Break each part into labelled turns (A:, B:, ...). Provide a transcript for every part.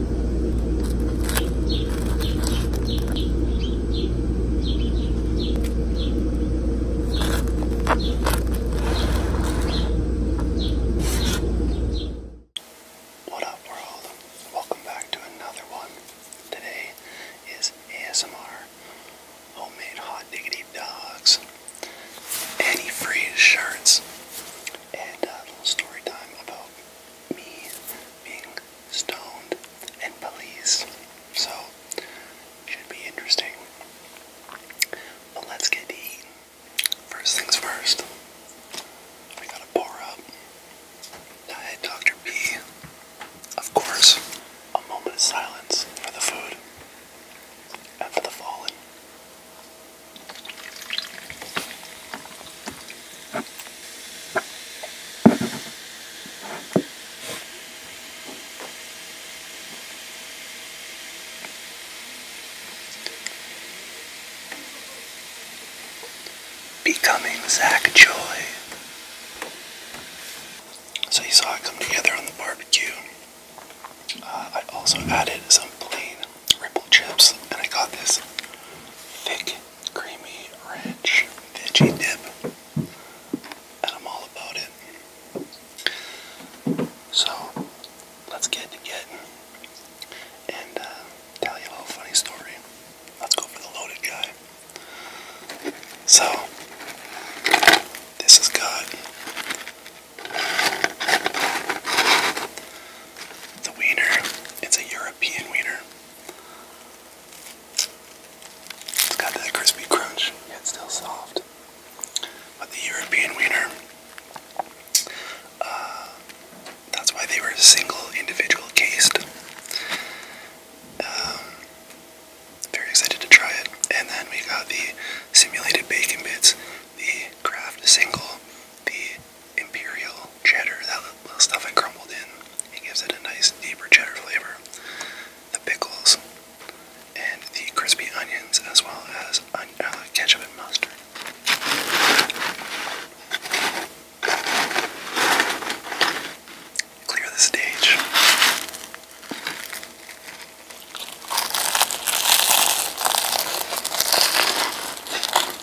A: What up, world? Welcome back to another one. Today is ASMR homemade hot diggity dogs, antifreeze shirts, and a little story time about me being stoned and police. So, should be interesting. But let's get to eating. First things first, we gotta pour up. Diet Dr. B. Of course, a moment of silence for the food and for the fallen becoming Zach Joy. So you saw it come together on the barbecue. Uh, I also added some plain Ripple Chips, and I got this thick, creamy, ranch veggie dip, and I'm all about it. So, let's get to getting and uh, tell you a little funny story. Let's go for the loaded guy. So, this has got the wiener. It's a European wiener. It's got that crispy crunch, yet still soft. But the European wiener, uh, that's why they were single individual cased. Um, very excited to try it. And then we got the simulated bacon bits, the craft single, the imperial cheddar, that little stuff I crumbled in. It gives it a nice deeper cheddar flavor. The pickles and the crispy onions, as well as uh, ketchup and mustard. Clear the stage.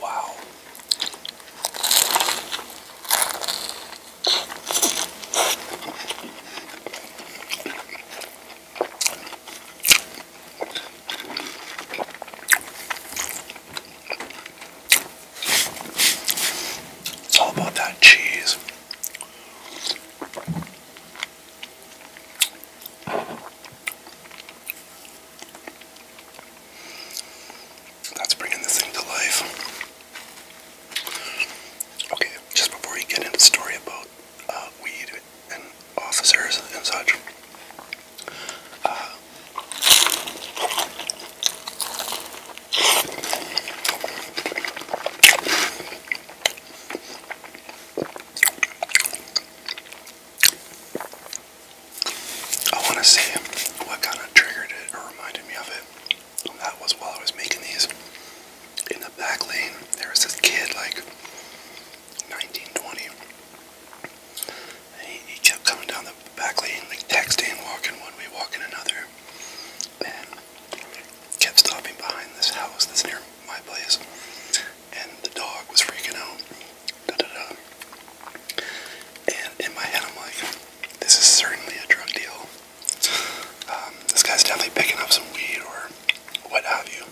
A: Wow. It's all about that cheese. That's bringing this thing to life. Okay, just before you get into the story about uh, weed and officers and such, I want to see what kind of triggered it or reminded me of it. that was while I was making these. In the back lane, there was this kid, like 19, 20. And he, kept coming down the back lane, like texting, walking one way, walking another. And kept stopping behind this house that's near my place and the dog was freaking out. Da, da, da. And in my head, I'm like, this is certainly a drug deal. Um, this guy's definitely picking up some weed or what have you.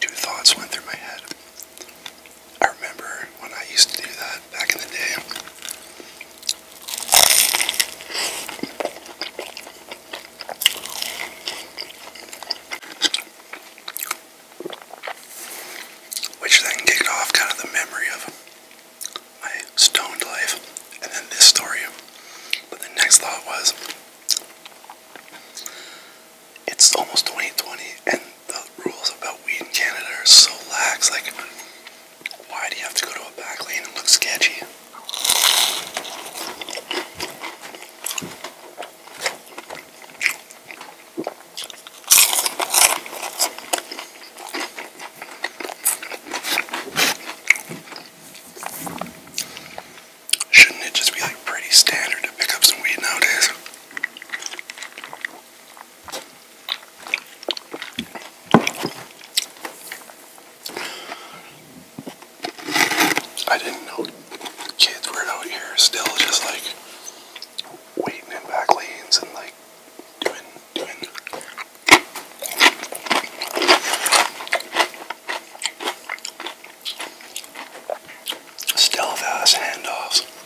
A: Two thoughts went through my head. I remember when I used to do that back in the day. Which then kicked off kind of the memory of my stoned life and then this story. But the next thought was it's almost 2020 and the rules about weed in Canada are so lax. Like, why do you have to go to a back lane and look sketchy? Shouldn't it just be like pretty standard to pick up some weed nowadays? I didn't know kids were out here still just like waiting in back lanes and like doing doing stealth ass handoffs.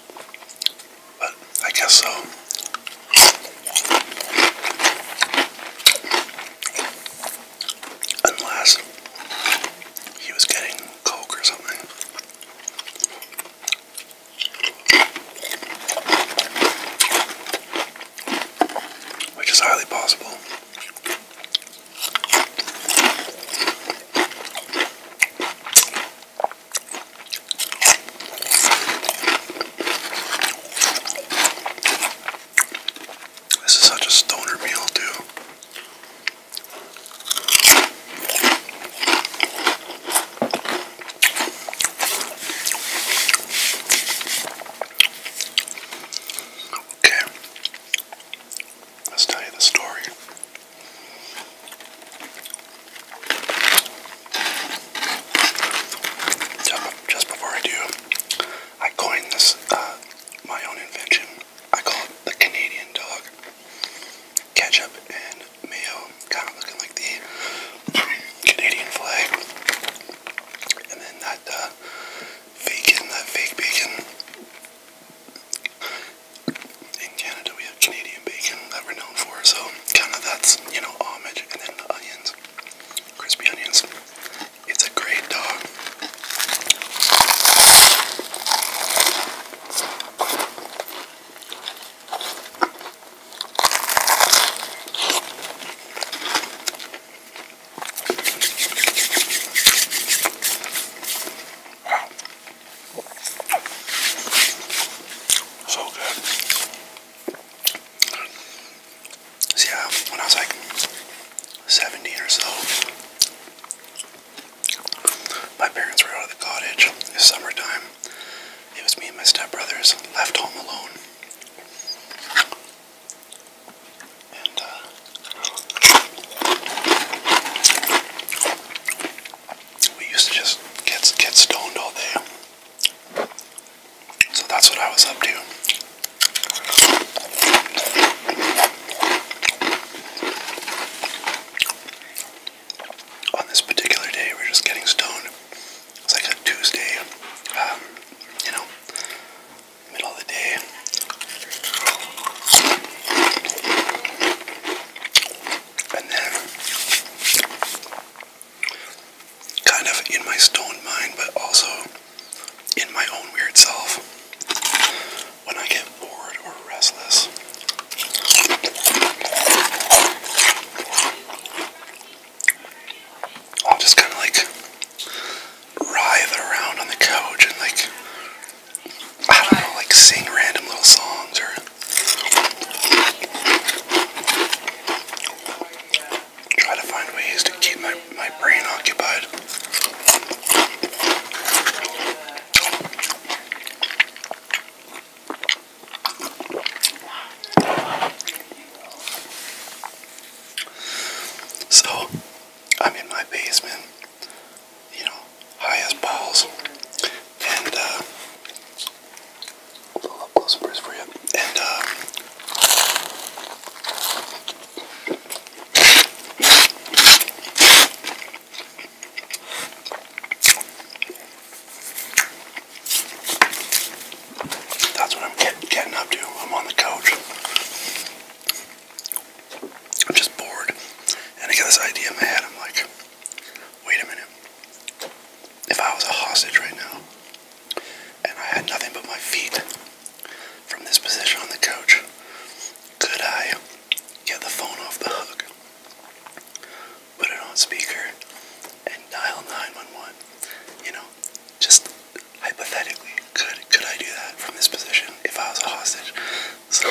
A: But I guess so. Unless he was getting Coke or something. Which is highly possible. This is such a stoner meal, too. Okay, let's tell you the story just before I do, I coined this uh, my own invention. I call it the Canadian dog. Ketchup and mayo, kind of looking like the Canadian flag. And then that bacon, uh, that fake bacon in Canada we have Canadian bacon that known for, so kind of that's, you know, homage, and then the onions, crispy onions. It's a great dog. So good. See, when I was like 17 or so, my parents were out of the cottage. It summertime. It was me and my stepbrothers left home alone. Uh, we used to just get get stoned all day. So that's what I was up to. On this particular day, we are just getting stoned. It's like a Tuesday, um, you know, middle of the day. And then, kind of in my stoned mind, but also in my own weird self, when I get bored or restless, I'll just kind of like writhe around on the couch and like, I don't know, like sing random little songs or Try to find ways to keep my, my brain occupied. So, I'm in my basement, you know, high as balls, and uh, a little up close for you. And, uh, that's what I'm getting up to. I'm on the couch. I'm just bored. And I got this idea in my head. I'm like, wait a minute if I was a hostage right now and I had nothing but my feet from this position on the couch, could I get the phone off the hook, put it on speaker, and dial 911? You know, just hypothetically, could could I do that from this position if I was a hostage? So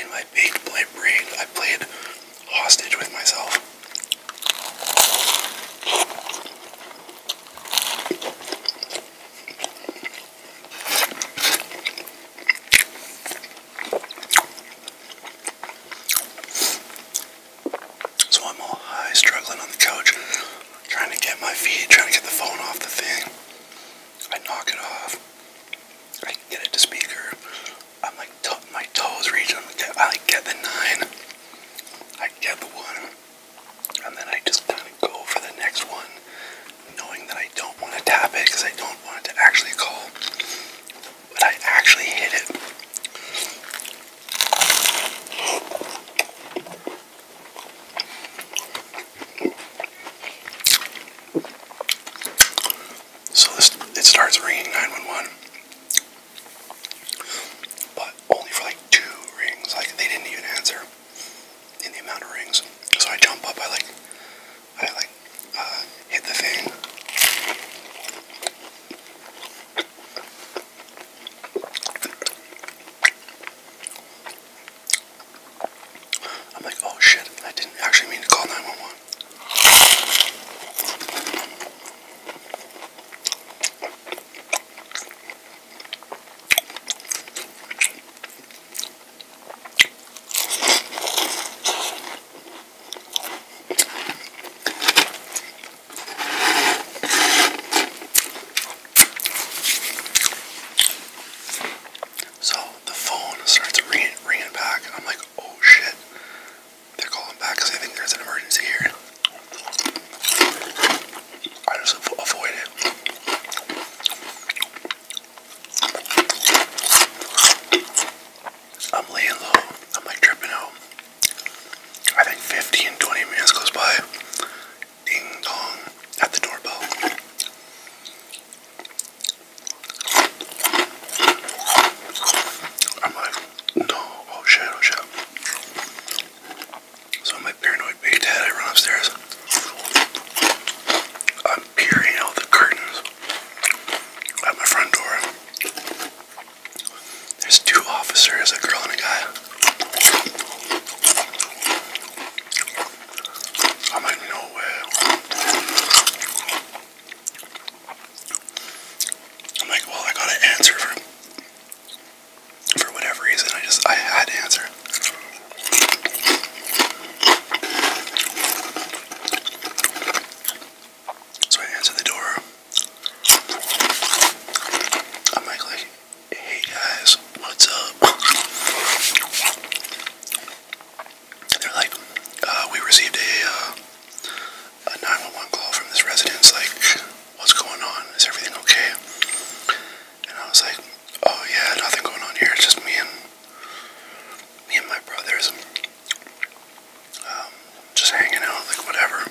A: in my big brain, I played hostage with myself. So I'm all high, struggling on the couch, trying to get my feet, trying to get the phone off the thing. I knock it off. I get it to speaker. I'm like my toes reach. I get, like get the nine. I get the one, and then I just kind of go for the next one, knowing that I don't want to tap it because I don't want it to actually call. But I actually hit it. So this it starts ringing 911, but only for like two rings. Like they didn't even answer in the amount of rings. So I jump up. I like I like uh, hit the thing. I'm like, oh shit, I didn't actually mean to call 911. So the phone starts ringing, ringing back, and I'm like, oh shit. They're calling back because they think there's an emergency here. I just avoid it. I'm laying low. I'm like tripping out. I think 15, 20 minutes goes by. Ding dong at the doorbell. I'm like, no, oh shit, oh shit. So my paranoid big dad, I run upstairs. I'm peering out the curtains at my front door. There's two officers, a girl and a guy. I'm like, no I'm like, well, I got an answer for for whatever reason. I just I had to answer. So I answered the door. I'm like, like, hey guys, what's up? They're like, uh, we received a. Uh, a 911 call from this residence, like, what's going on? Is everything okay? And I was like, oh yeah, nothing going on here. It's just me and me and my brothers, um, just hanging out, like whatever.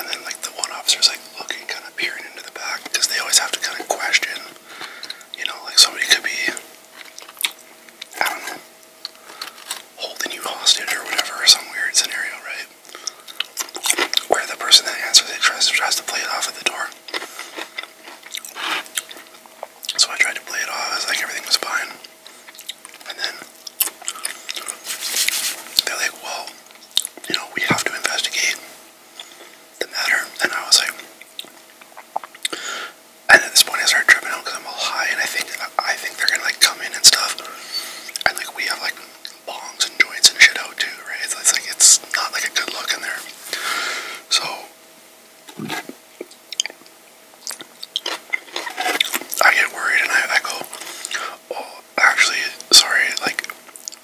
A: And then like the one officer is like looking, kind of peering into the back, because they always have to kind of question, you know, like somebody could be, I don't know, holding you hostage or whatever, some weird scenario, right? Where the person that answers it tries to, play it off at the door. So I tried to play it off as like everything was fine. And then they're like, well, you know, we have to investigate the matter. And I was like, and at this point, I started tripping out because I'm all high, and I think I think they're gonna like come in and stuff. And like we have like bones and joints and shit out too, right? It's, it's like it's not like a good look in there. So I get worried, and I, I go, "Oh, actually, sorry, like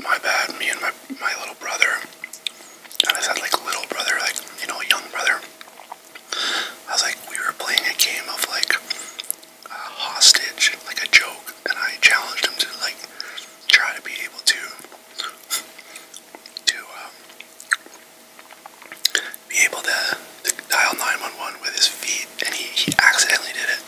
A: my bad. Me and my my little brother." And I said like little brother, like you know, young brother. I was like, we were playing a game of like a hostage, like a joke, and I challenged him to like try to be able to to um, be able to dial 911 with his feet, and he, he accidentally did it.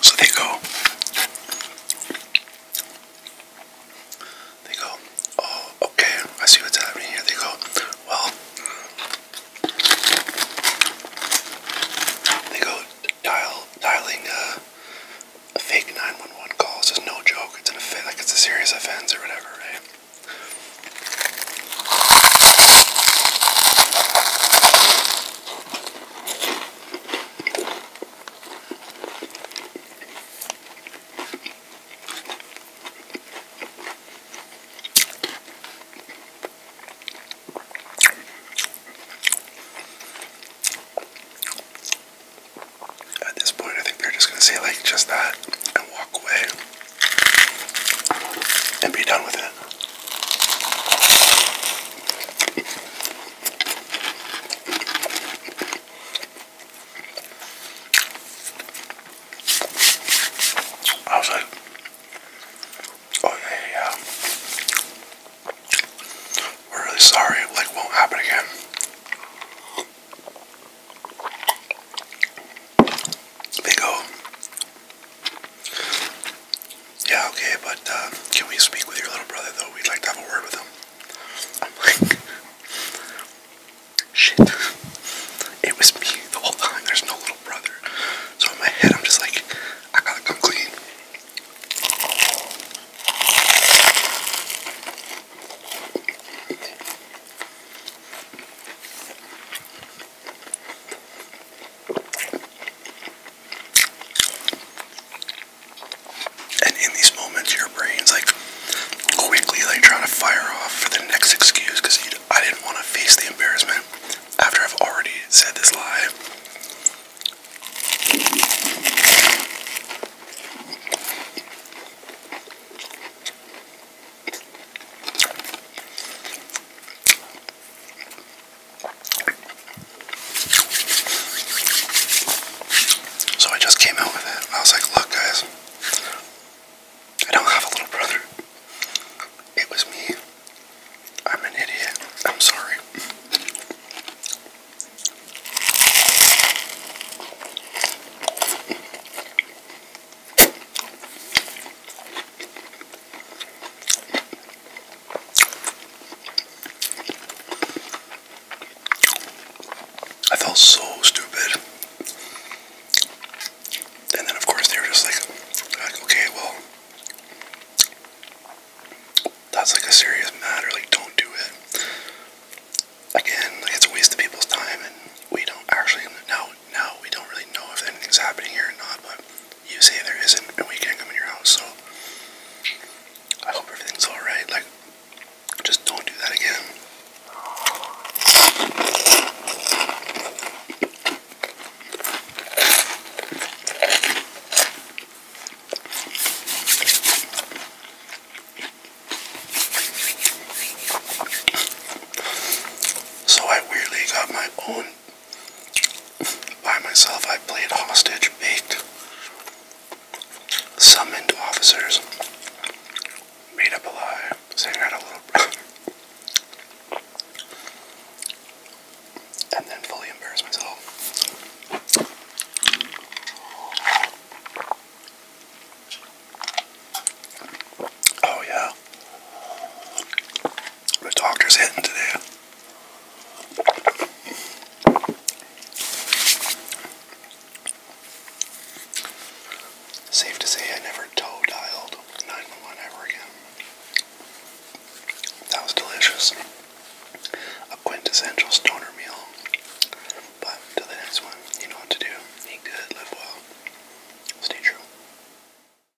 A: So they go, they go, oh, okay, I see what's happening here. They go, well, they go dialing uh, fake 911 calls is no joke. It's an offense, like it's a serious offense or whatever, right? At this point, I think they're just going to say, like, just that and walk away and be done with it. I was like, oh yeah, yeah, We're really sorry, like won't happen again. They go yeah, okay, but uh, can we speak with your little brother though? We'd like to have a word with him. I'm like, shit. It was me the whole time. There's no little brother. So in my head, I'm just like, I gotta come clean. And in these moments, your brain's like quickly like trying to fire off for the next excuse I didn't want to face the embarrassment after I've already said this lie. So I just came out with it. I was like, look, guys, I don't have a little brother. It was me. I'm an idiot. I'm sorry. I felt so stupid. And then, of course, they were just like, okay, well, that's like a serious matter. Like, don't do it. Again, like, it's a waste of people's time, and we don't actually, know. now we don't really know if anything's happening here or not, but you say there isn't, and we can come in your house. So I hope everything's all right. Like, just don't do that again. So I weirdly got my own by myself, I played hostage, bait, summoned officers, made up a lie, sang out a little. and then fully embarrass myself. Oh yeah. The doctor's hitting today. Safe to say I never toe dialed 911 ever again. That was delicious. A quintessential stoner meal. But till the next one, you know what to do. Eat good, live well. Stay true.